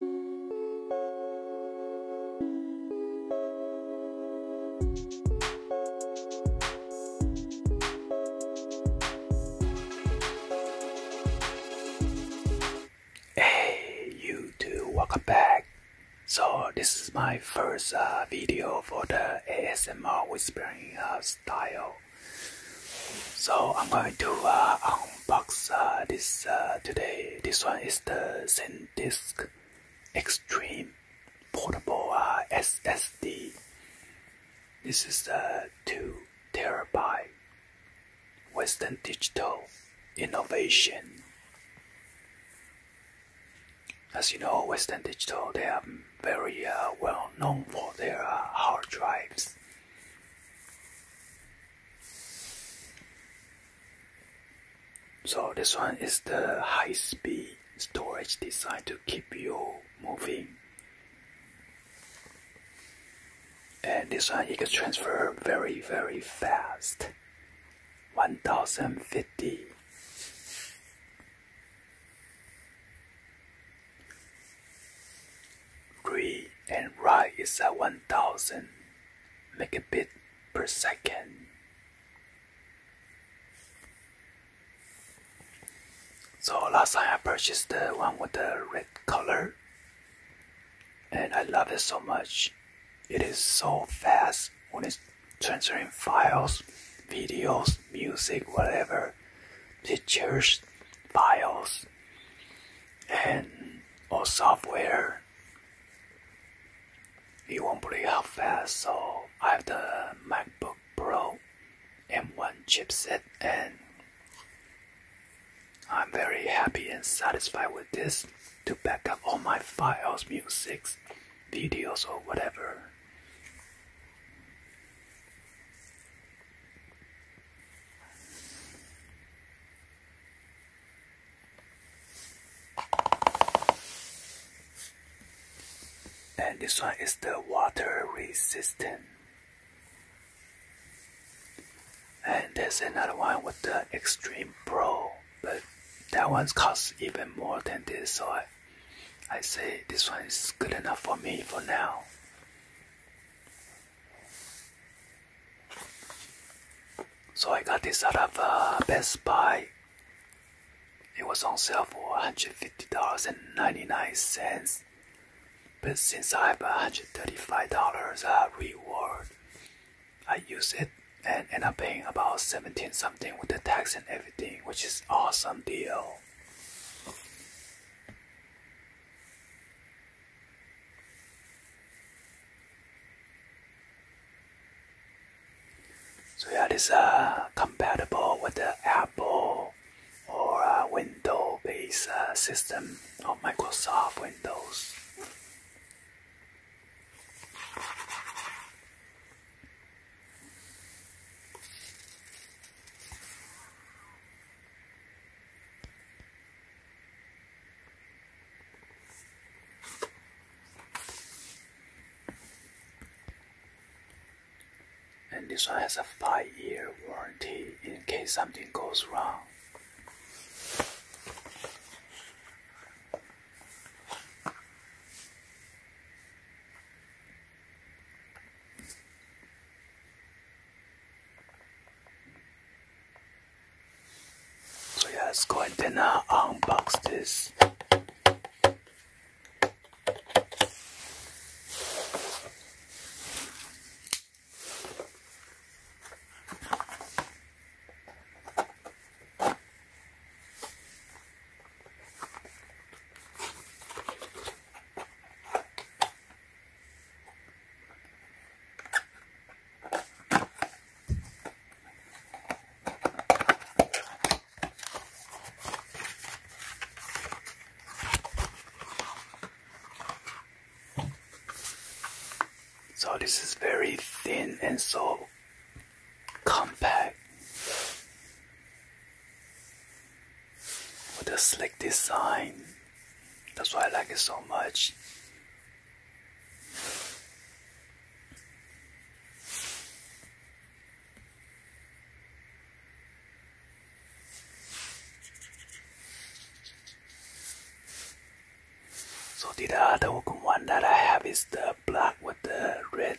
Hey YouTube, welcome back. So this is my first uh, video for the ASMR whispering uh, style. So I'm going to uh, box uh, this uh, today. This one is the SanDisk Extreme Portable uh, SSD. This is a two terabyte Western Digital Innovation. As you know, Western Digital they are very well known for their hard drives. So this one is the high-speed storage designed to keep you moving. And this one you can transfer very very fast. 1050 read and write is at 1000 megabit per second. So last time I purchased the one with the red color and I love it so much. It is so fast when it's transferring files, videos, music, whatever, pictures, files and all oh, software it won't play how fast so I have the MacBook Pro M1 chipset and I'm very happy and satisfied with this to back up all my files, music, videos or whatever. And this one is the water resistant. And there's another one with the Extreme Pro, but that one costs even more than this, so I, say this one is good enough for me for now. So I got this out of uh, Best Buy. It was on sale for $150.99. But since I have $135 uh, reward, I use it and end up paying about 17 dollars something with the tax and everything, which is awesome deal. So yeah, this uh, compatible with the Apple or uh, Windows-based uh, system or Microsoft Windows. And this one has a five year warranty in case something goes wrong. So yeah, let's go and uh, unbox this. So this is very thin and so compact with a slick design. That's why I like it so much. So the other one that I have is the black with the red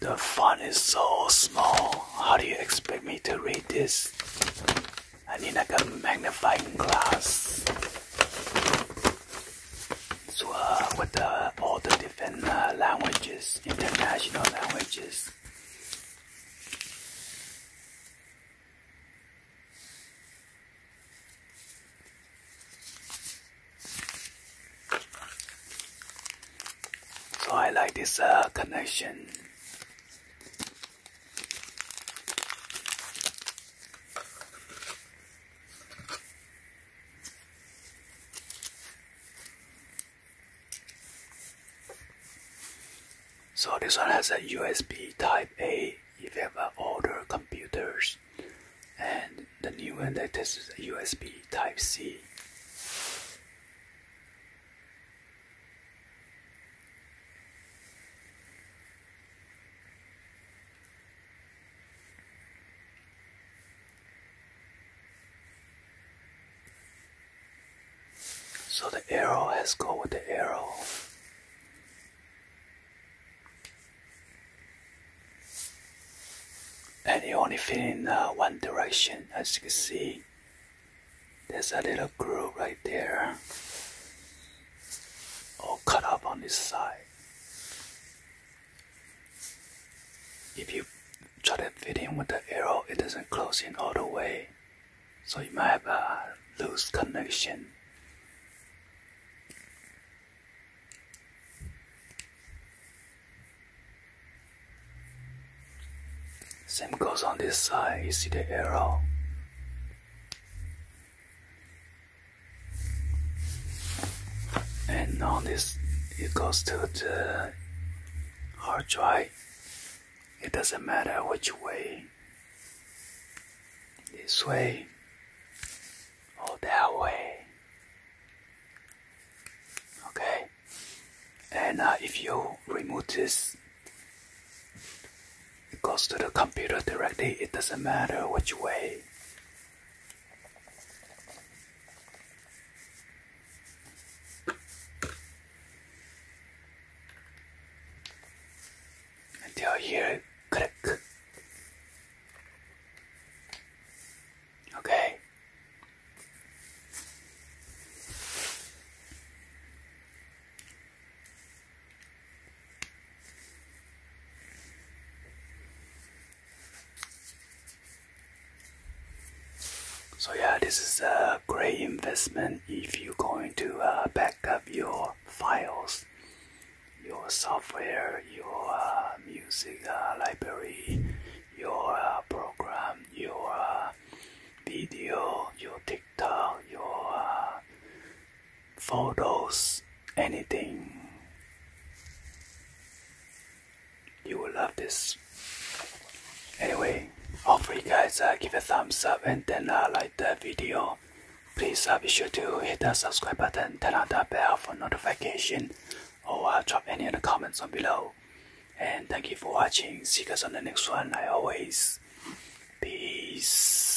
The font is so small. How do you expect me to read this? I need like a magnifying glass. So uh, with uh, all the different uh, languages, international languages. So I like this uh, connection. So this one has a USB Type A if you have older computers, and the new one that is a USB Type C. So the arrow, has to go with the arrow. And you only fit in uh, one direction, as you can see. There's a little groove right there. All cut up on this side. If you try to fit in with the arrow, it doesn't close in all the way so you might have a loose connection. Same goes on this side, you see the arrow. And on this, it goes to the hard drive. It doesn't matter which way this way or that way. Okay, and uh, if you remove this it goes to the computer directly, it doesn't matter which way until you click. Okay. So yeah, this is uh great investment if you're going to uh, back up your files, your software, your uh, music uh, library, your program, your video, your TikTok, your photos, anything. You will love this. Anyway, Hopefully, guys uh, give a thumbs up and then uh, like the video. Please uh, be sure to hit the subscribe button, turn on the bell for notification, or drop any other comments down below. And thank you for watching. See you guys on the next one. I always peace.